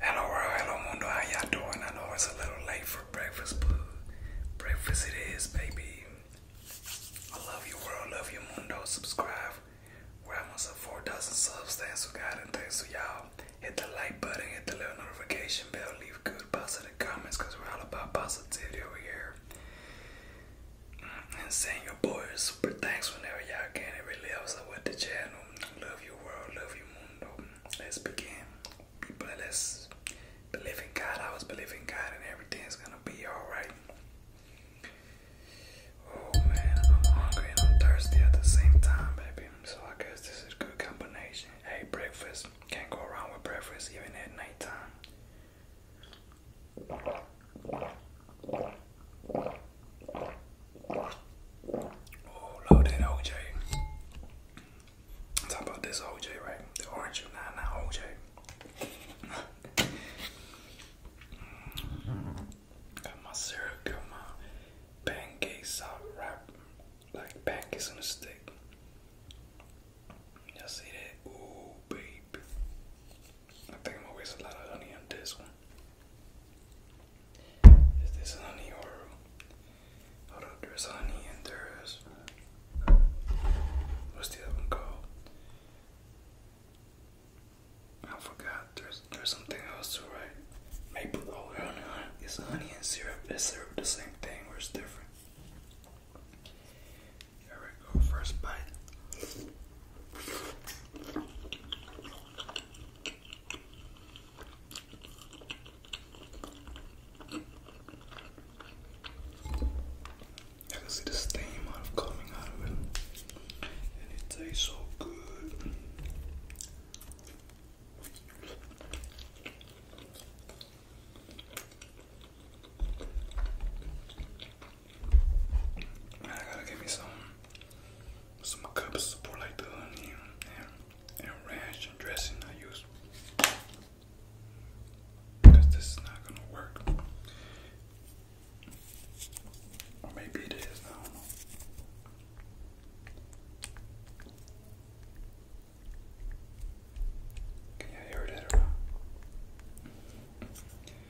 Hello world, hello mundo, how y'all doing? I know it's a little late for breakfast, but breakfast it is, baby. I love you world, love you mundo. Subscribe. We're almost at dozen subs. Thanks to God and thanks to y'all. Hit the like button, hit the little notification bell, leave good positive comments because we're all about positivity over here. Mm, and saying your boy super thanks whenever y'all can. It really helps out with the channel. Love your world, love your mundo. Let's begin. People, let's believe in God. I was believing God, and everything's gonna be alright. Oh man, I'm hungry and I'm thirsty at the same time, baby. So I guess this is a good combination. Hey, breakfast can't go wrong with breakfast, even at nighttime. Oh, load that OJ. Talk about this OJ, right? The orange nine nine OJ. got my syrup, got my pancakes out wrapped like pancakes on a stick. Y'all see that? Ooh, baby. I think I'm gonna waste a lot of honey on this one. Is this honey or I do there's honey and there is what's the other one called? I forgot. There's there's something else to write. Maple oh Is honey and syrup is syrup the same thing or is different? Here we go, first bite. I see the steam out of coming out of it, and it tastes so good. I gotta give me some some cups for like the onion and, ranch and dressing I use. Because this is not gonna work. Or maybe it is, I don't know. Can you hear that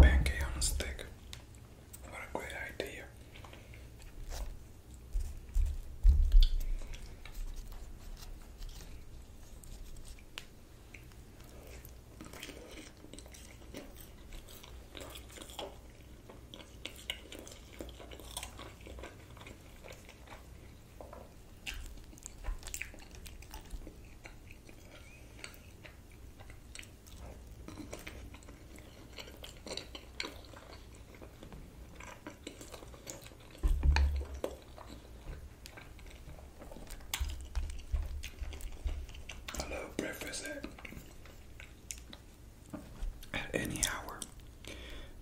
Pancake on a stick. What a great idea. I love breakfast at, any hour.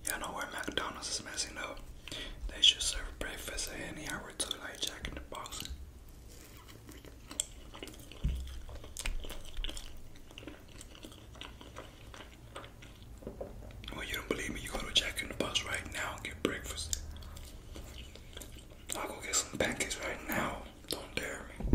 Y'all know where McDonald's is messing up. They should serve breakfast at any hour to like Jack in the Box. Well, you don't believe me? You go to Jack in the Box right now and get breakfast. I'll go get some pancakes right now. Don't dare me.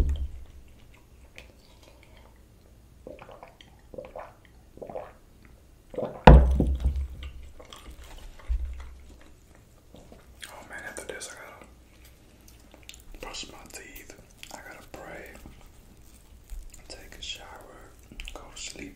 Oh man, after this, I gotta brush my teeth. I gotta pray, take a shower, go to sleep.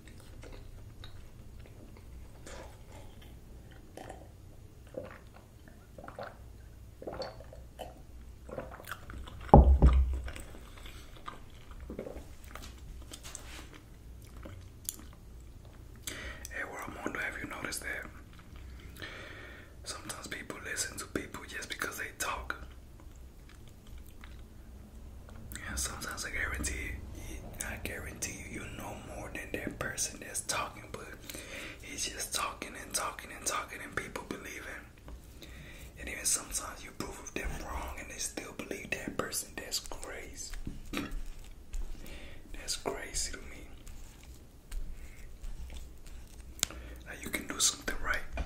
Hey where I'm world mundo, have you noticed that sometimes people listen to people just because they talk? And sometimes I guarantee you, I guarantee you, you know more than that person that's talking, but he's just talking and talking and talking, and people believe him. And even sometimes you prove them wrong, and they still believe that person. That's crazy. that's crazy to me. you can do something right,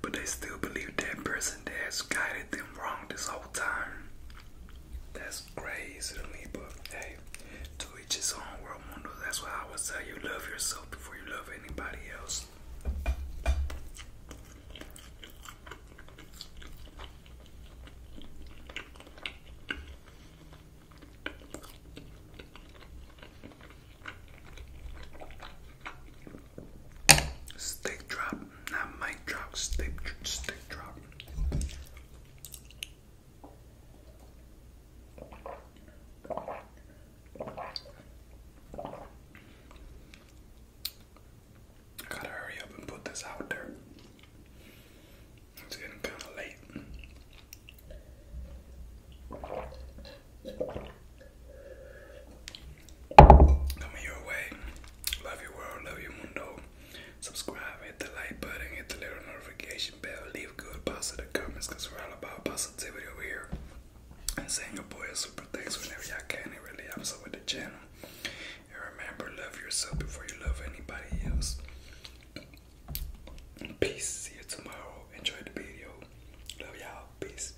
but they still believe that person that has guided them wrong this whole time. That's crazy to me, but hey, to each his own world mundo. That's why I would say you love yourself before you love anybody else. Stick drop, not mic drop, steak, steak drop. gotta hurry up and put this out there. It's getting kind of late coming your way. Love your world, love your mundo. Subscribe, hit the like button, hit the little notification bell, leave good positive comments because we're all about positivity over here. And saying your boy super thanks whenever y'all can. It really helps out with the channel. And remember, love yourself before you love anybody else. Peace. See you tomorrow. Enjoy the video. Love y'all. Peace.